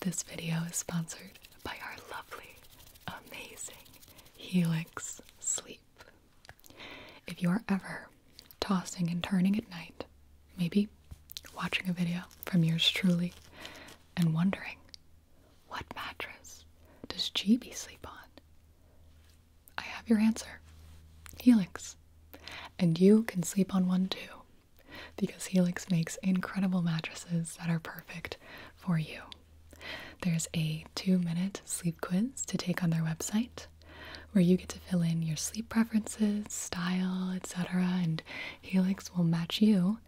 This video is sponsored by our lovely, amazing Helix Sleep. If you are ever tossing and turning at night, maybe watching a video from yours truly, and wondering, what mattress does GB sleep on? I have your answer Helix. And you can sleep on one too because Helix makes incredible mattresses that are perfect for you. There's a two minute sleep quiz to take on their website where you get to fill in your sleep preferences, style, etc., and Helix will match you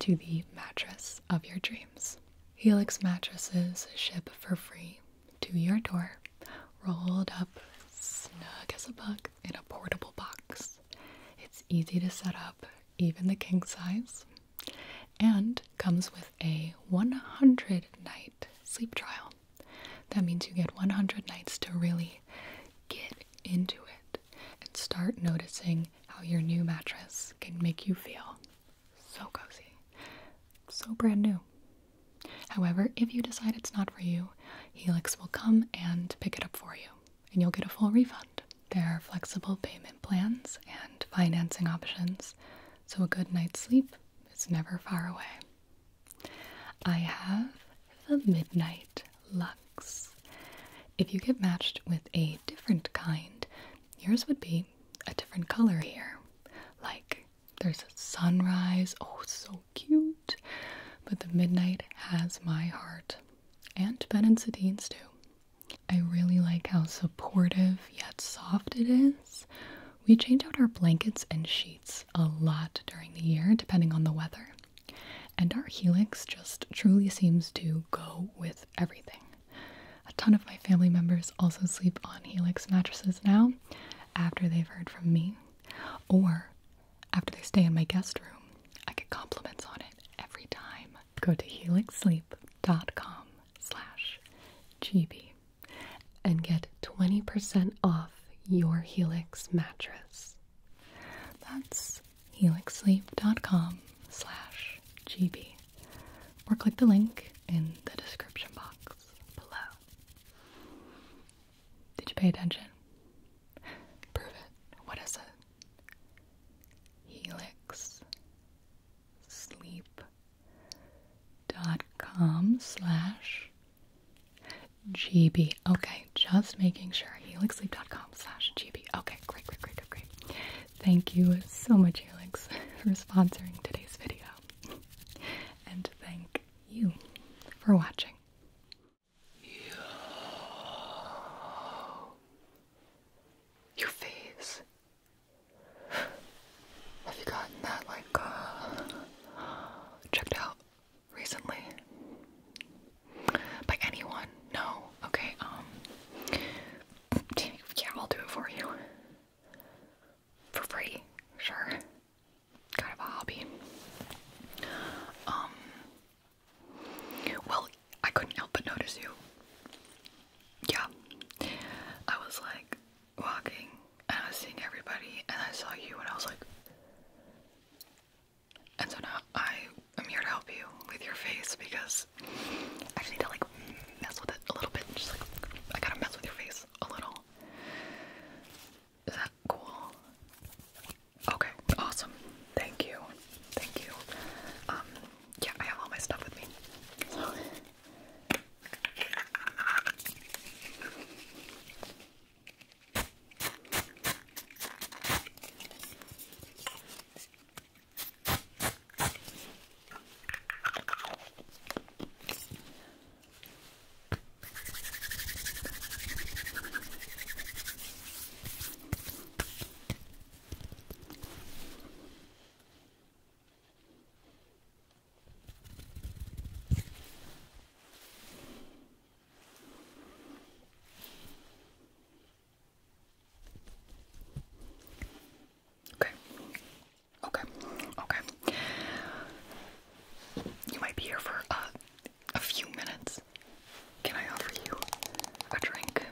to the mattress of your dreams. Helix mattresses ship for free to your door, rolled up snug as a bug in a portable box. It's easy to set up, even the king size, and comes with a 100 night sleep trial. That means you get 100 nights to really get into it and start noticing how your new mattress can make you feel so cozy, so brand new. However, if you decide it's not for you, Helix will come and pick it up for you and you'll get a full refund. There are flexible payment plans and financing options, so a good night's sleep is never far away. I have the Midnight Lux. If you get matched with a different kind, yours would be a different color here. Like there's sunrise, oh, so cute! But the midnight has my heart and benzoadenes too. I really like how supportive yet soft it is. We change out our blankets and sheets a lot during the year, depending on the weather. And our helix just truly seems to go with everything. A ton of my family members also sleep on helix mattresses now after they've heard from me, or after they stay in my guest room, I get compliments on it every time. Go to helixsleep.com slash gb and get 20% off your Helix mattress. That's helixsleep.com slash gb, or click the link in the description box below. Did you pay attention? Prove it. What is it? Helix sleep dot com slash GB. Okay, just making sure. Helixsleep.com slash GB. Okay, great, great, great, great, great. Thank you so much, Helix, for sponsoring today's video. And thank you for watching. Your face. Have you gotten that, like, uh, checked out recently? By anyone? No? Okay, um, yeah, I'll do it for you. For free, sure. Kind of a Um, well, I couldn't help but notice you. Yeah. I was like walking and I was seeing everybody and I saw you and I was like And so now I am here to help you with your face because I just need to like mess with it a little bit. Just like I gotta mess with your face a little. Is that cool? Okay, awesome. Thank you. Thank you. Um, yeah, I have all my stuff with me. Okay. Okay. Okay. You might be here for uh, a few minutes, can I offer you a drink?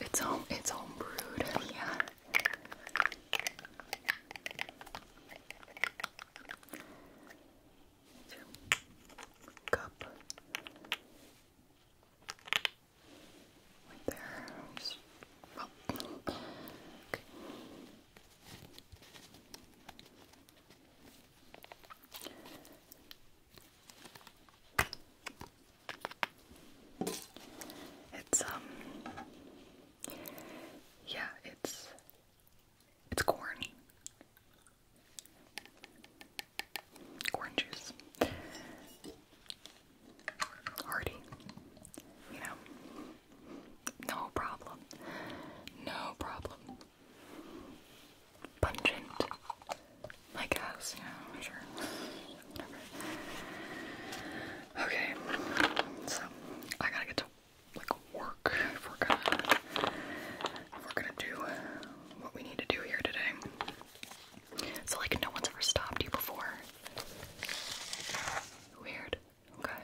It's home it's home brewed, yeah. Cup right there. It's um yeah, it's it's corn. Corn juice hearty. You know, no problem. No problem. Pungent. I guess, yeah, sure. Okay, so I gotta get to like work if we're gonna if we're gonna do what we need to do here today. So like no one's ever stopped you before. Weird. Okay.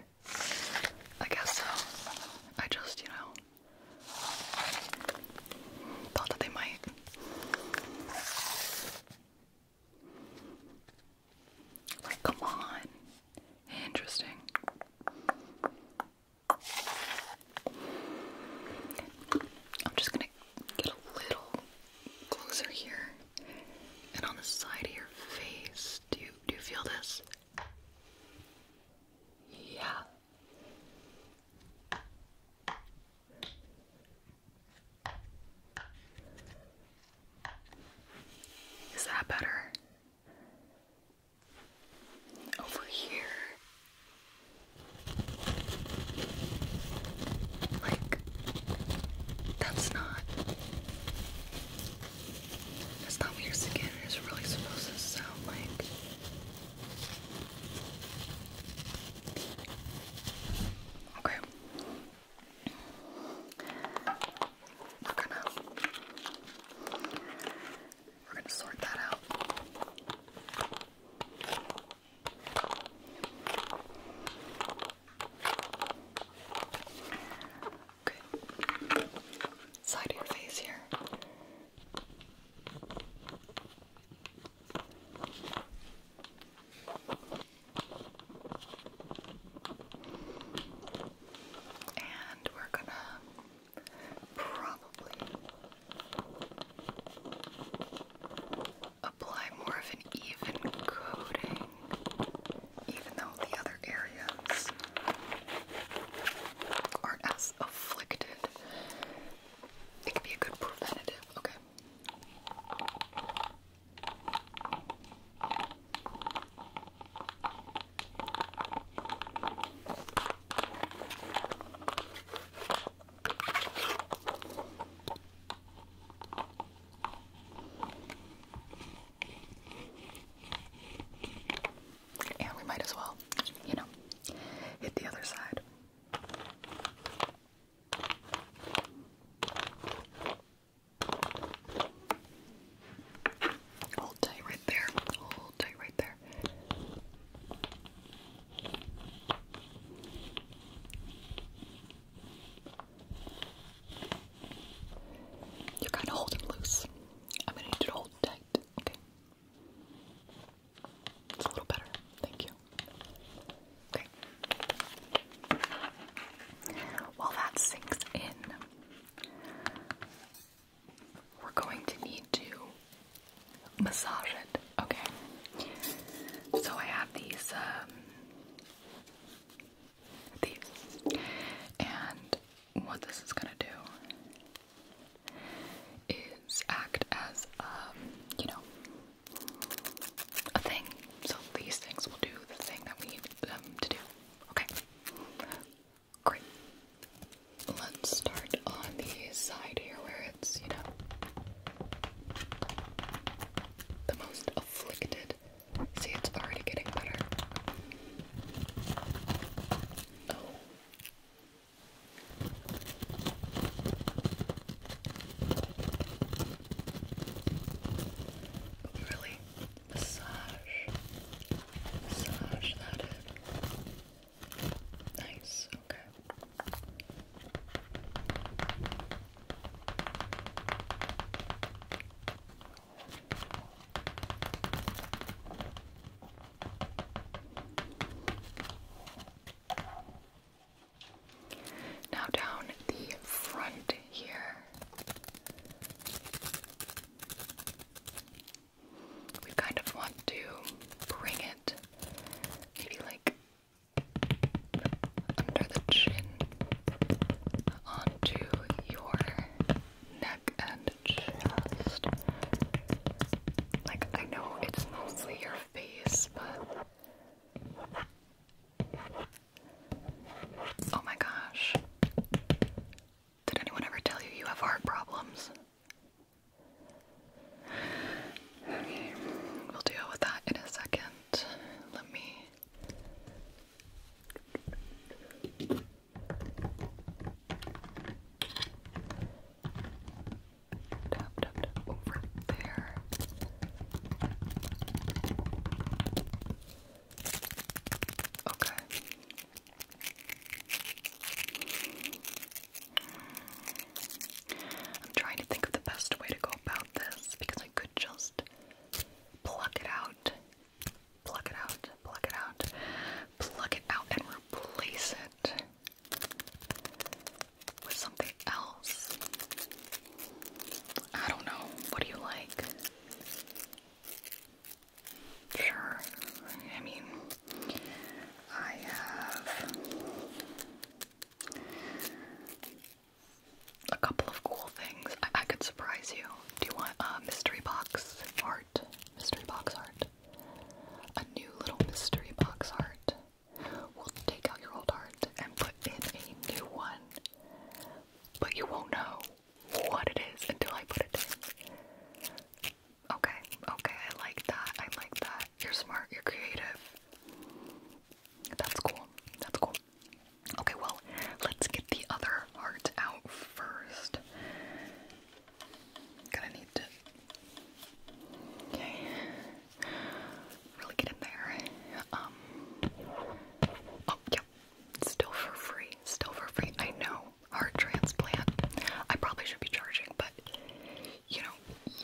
I guess so. I just, you know, thought that they might. Like, come on. Interesting. I'm just gonna get a little closer here and on the side of your face. Do you do you feel this? Yeah. Is that better? Over here. Like that's not. That's not what your skin is really supposed to sound like. Okay. We're gonna We're gonna sort that out. Side of your face here. And we're gonna probably apply more of an even coating, even though the other areas aren't as afflicted. It could be a good preventative. Okay. And we might as well, you know, hit the other side. Hold tight right there. Hold tight right there. You're kind of holding loose. I'm gonna need to hold tight, okay? It's a little better. Thank you. Okay. While that sinks in, we're going to need to massage it, okay? So I have these um, these. And what this is gonna do is act as a, um, you know, a thing. So these things will do the thing that we need them to do. Okay. Great. Let's start on the side here where it's, you know, the most afflicted. See, it's already getting better. Oh. oh. really, massage. Massage that in. Nice, okay. Now, down the front here, we kind of want to bring it maybe like under the chin onto your neck and chest. Like, I know it's mostly your face, but. Oh my gosh. Did anyone ever tell you you have heart problems? Okay, we'll deal with that in a second let me tap, tap over there. Okay. I'm trying to think of the best way to go about this because I could just plug it out, plug it out, plug it out, plug it out, and replace it with something else. I don't know. What do you like? Sure. I mean, I have a couple of cool things. I, could surprise you. Do you want a mystery box art? Mystery box art. A new little mystery box art. We'll take out your old art and put in a new one. But you won't know what it is until I put it in. Okay, okay, I like that. I like that. You're smart, you're creative. That's cool. That's cool. Okay, well, let's get the other heart out first. Gonna need to. Okay. Really get in there. Um, oh, yep. Still for free. Still for free. I know. Heart transplant. I probably should be charging, but you know,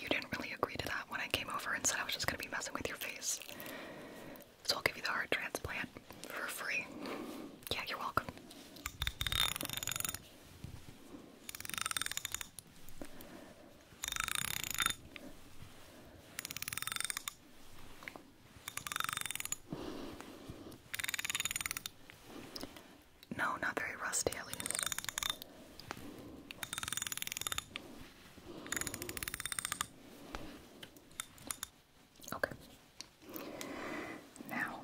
you didn't really agree to that when I came over and said I was just gonna be messing with your face. So I'll give you the heart transplant for free. Yeah, you're welcome. No, not very rusty at least. Okay. Now,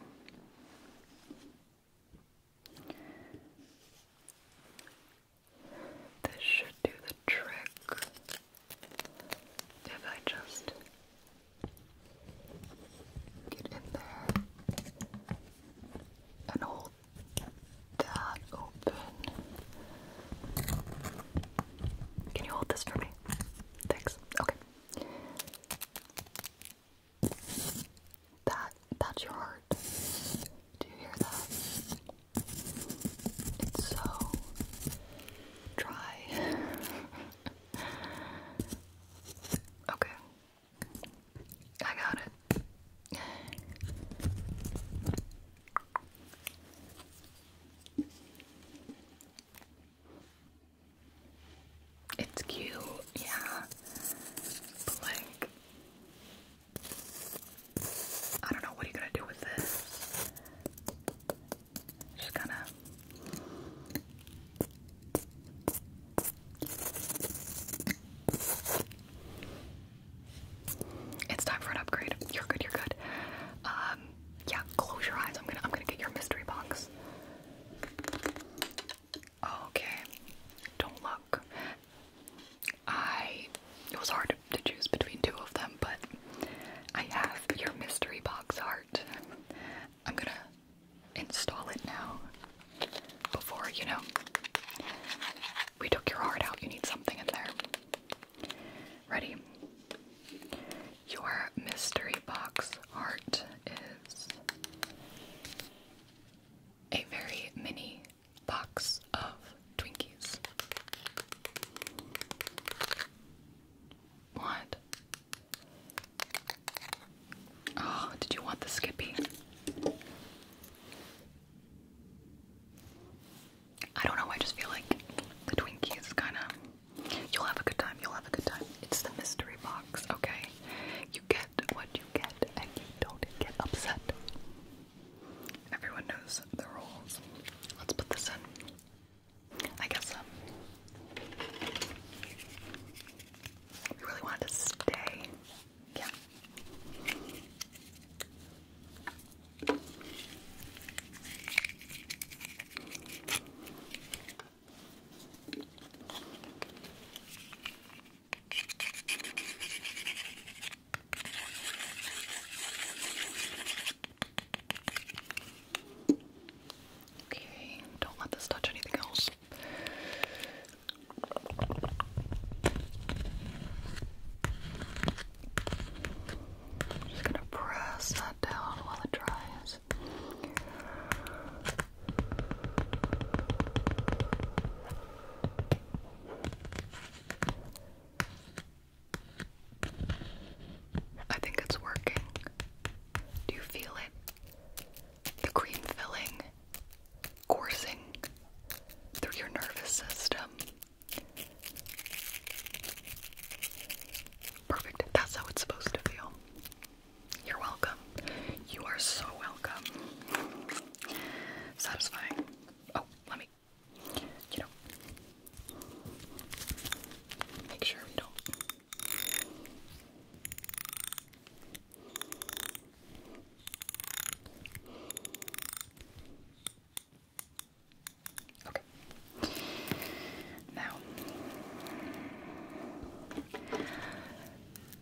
this should do the trick if I just get in there and hold can you hold this for me? Thanks. Okay. That that's your heart. Do you hear that? It's so dry. okay. I got it. It's cute, yeah. But like I don't know what are gonna do with this. Just gonna it's time for an upgrade. You're good. You're good. Um, yeah. Close your eyes. I'm gonna. I'm gonna get your mystery box. Okay. Don't look. I. It was hard to choose between two of them, but I have your mystery box art. I'm gonna install it now before, you know. We took your heart out, you need something in there. Ready? Your mystery box art is a very mini box of Twinkies. What? Oh, did you want the Skippy? I don't know, I just feel like the Twinkie is kind of. You'll have a good time, you'll have a good time. It's the mystery box, okay? You get what you get and you don't get upset. Everyone knows the rules. Let's put this in. I guess, um. We really wanted to stay yeah. Okay, don't let this touch anything else i just gonna press that down while it dries. I think it's working. Do you feel it? The cream filling coursing through your nervous system. Perfect. That's how it's supposed to feel. You're welcome. You are so welcome. Satisfying. Oh, let me, you know, make sure we don't Okay. Now,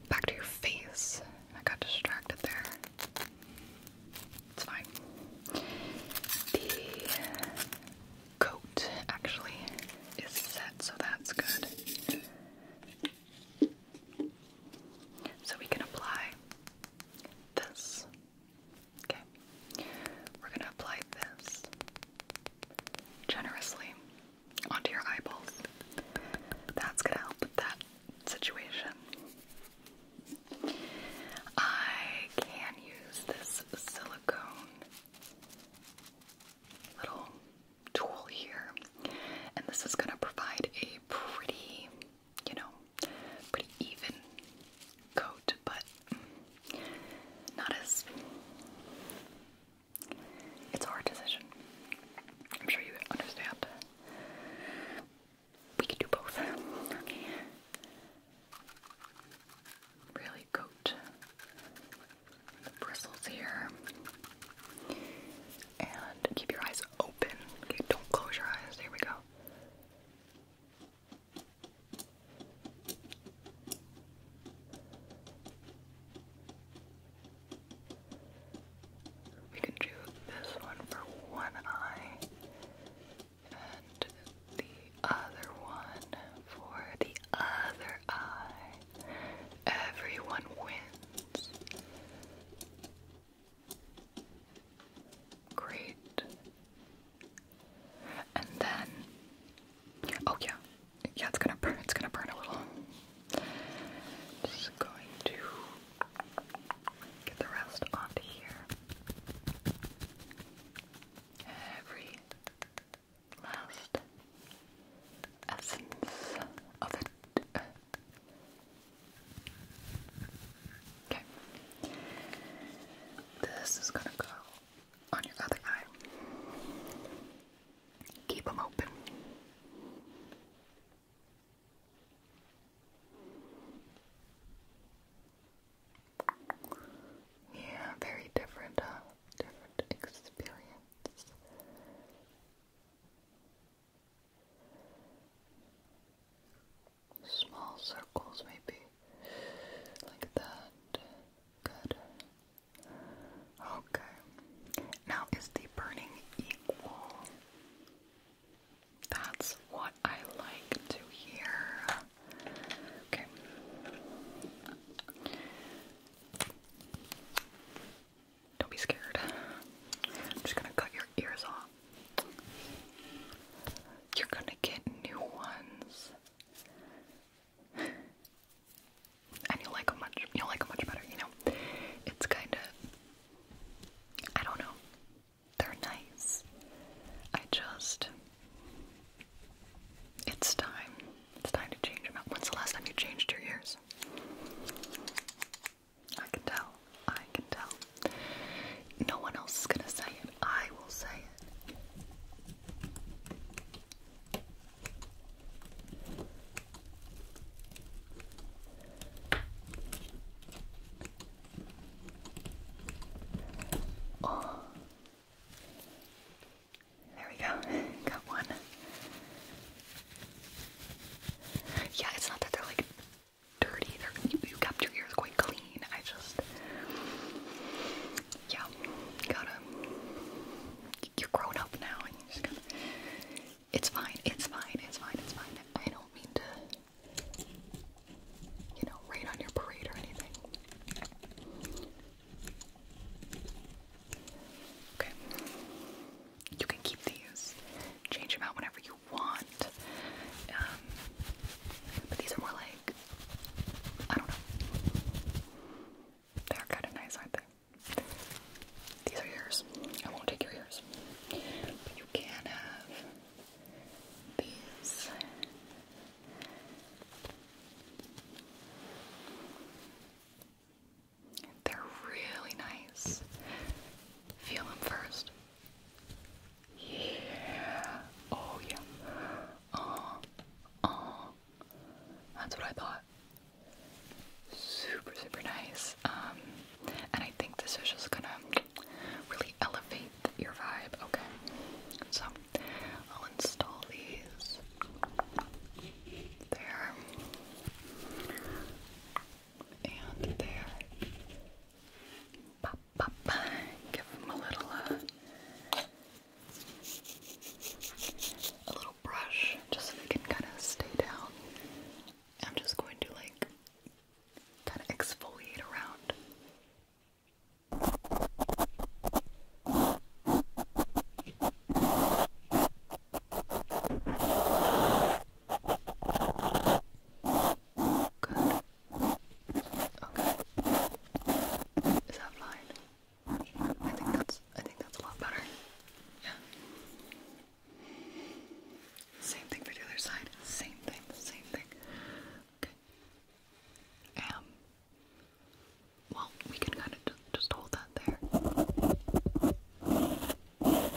back to your face. I got distracted there. It's fine. The coat actually is set, so that's good. So we can apply this. Okay. We're going to apply this generously onto your eyeballs. That's going to help with that situation. I can use this silicone little tool here, and this is going to provide a pretty, you know, pretty even coat, but not as. It's a hard decision. I'm sure you understand. We can do both. Really coat bristles here. And keep your eyes open. don't close your eyes. Here we go. We can do this one for one eye and the other one for the other eye. Everyone wins. Great. And then, oh yeah, yeah, it's gonna It's gonna burn a little. Just going to get the rest onto here. Every last essence of it. Okay. This is gonna go on your other eye. Keep them open. Yeah, very different, uh, different experience. Small circles, maybe like that. Good. Okay. Now, is the burning equal? That's what I like to hear. Okay. Don't be scared. I'm just gonna cut your ears off. You're gonna get new ones. And you'll like them much you'll like them much better, you know. It's kinda I don't know. They're nice. I just it's time. It's time to change them When's the last time you changed your ears? I can tell. I can tell. No one else is gonna say it. I will say it. Oh. There we go. Got one. Yeah, it's not that they're like dirty. you, you kept your ears quite clean. I just, yeah, gotta. You're grown up now, It's fine. It's fine. It's fine. It's fine. I don't mean to, you know, rain on your parade or anything. Okay. You can keep these, change them out whenever you want. Um, but these are more like, I don't know. They're kind of nice, aren't they? These are yours. I won't take your ears. you can have these. They're really nice. Feel them first. Yeah. Oh yeah. Oh. Oh. That's what I thought. Super, super nice. Um, and I think this is just gonna really elevate your vibe. Okay. So I'll install these there, and there. give them a little, a little brush, just so they can kind of stay down. I'm just going to like kind of exfoliate around. Good. Okay. Is that fine? I think that's I think that's a lot better. Yeah. Same thing for the other side. Same thing. Same thing. Okay. Um well, we can kind of just hold that there. Yeah,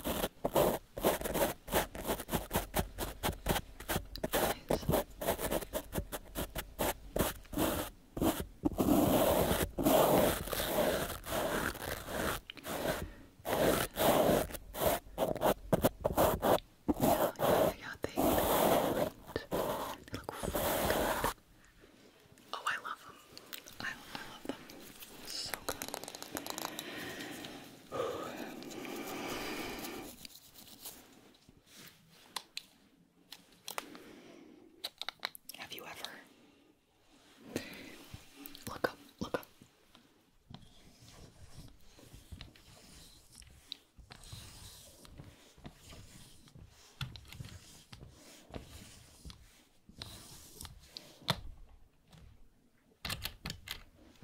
yeah, yeah, they, they look good. Oh, I love them. I, love them. So good. Have you ever look up? Look up.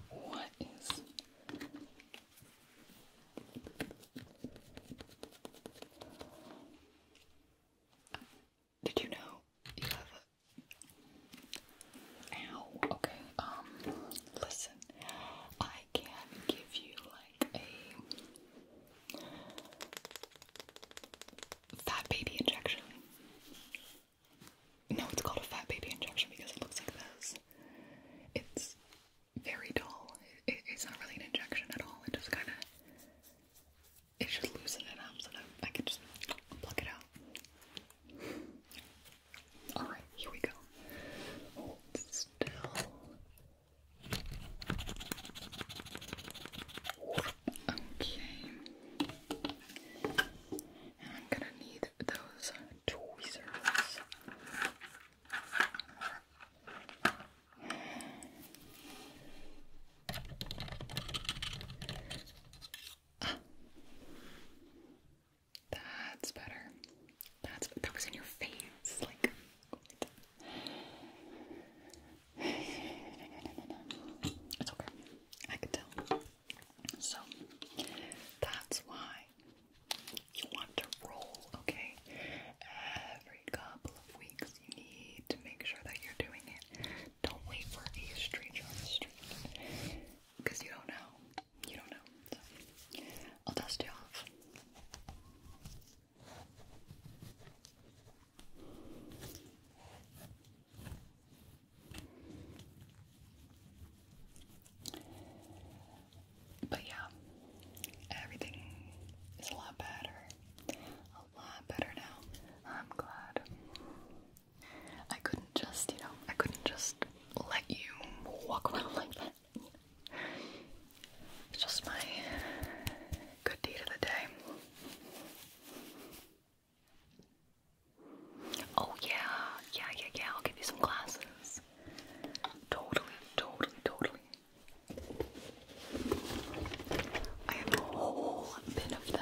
What is Did you know Ow, okay, um listen. I can give you like a Fat baby injection. No, it's called a fat baby injection because it looks like this. It's very dull. it's not really an injection at all. It just kind of. It should loosen it up so that I can just pluck it out. Alright, here we go. Hold still. Okay. I'm gonna need those tweezers. That's better. That's that was in your face, like it's okay. I can tell. So that's why you want to roll, okay? Every couple of weeks you need to make sure that you're doing it. Don't wait for a stranger on the street. Because you don't know. You don't know. I'll dust you off. But yeah, everything is a lot better. A lot better now. I'm glad. I couldn't just, you know, I couldn't just let you walk around like that. It's just my Good deed of the day. Oh, yeah, yeah, yeah, yeah. I'll give you some glasses. Totally, totally, totally. I have a whole bin of them.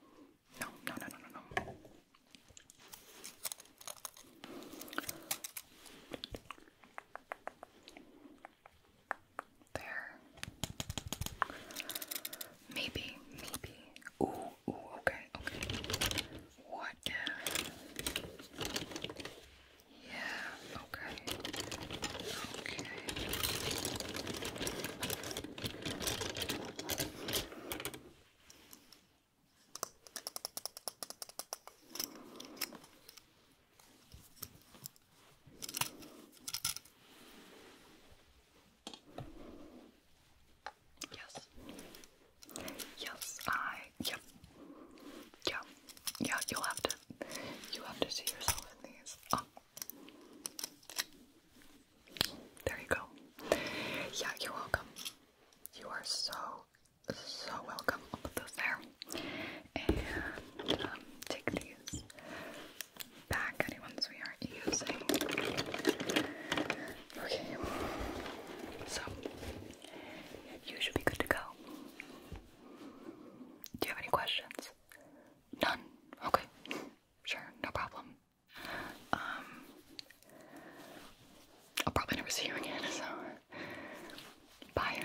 No, no, no, no, no, no. There. Maybe, maybe. Ooh, ooh, okay, okay. What if? Yeah, okay. Okay. Yes. Yes, I. Yep. Yeah. Yeah, you'll have to. You have to see yourself in these. Um, there you go. Yeah, you're welcome. You are so, so welcome. put those there. And um, take these back, any ones we aren't using. Okay. So, you should be good to go. Do you have any questions? None? Okay. Sure, no problem. Um, I'll probably never see you again, so bye.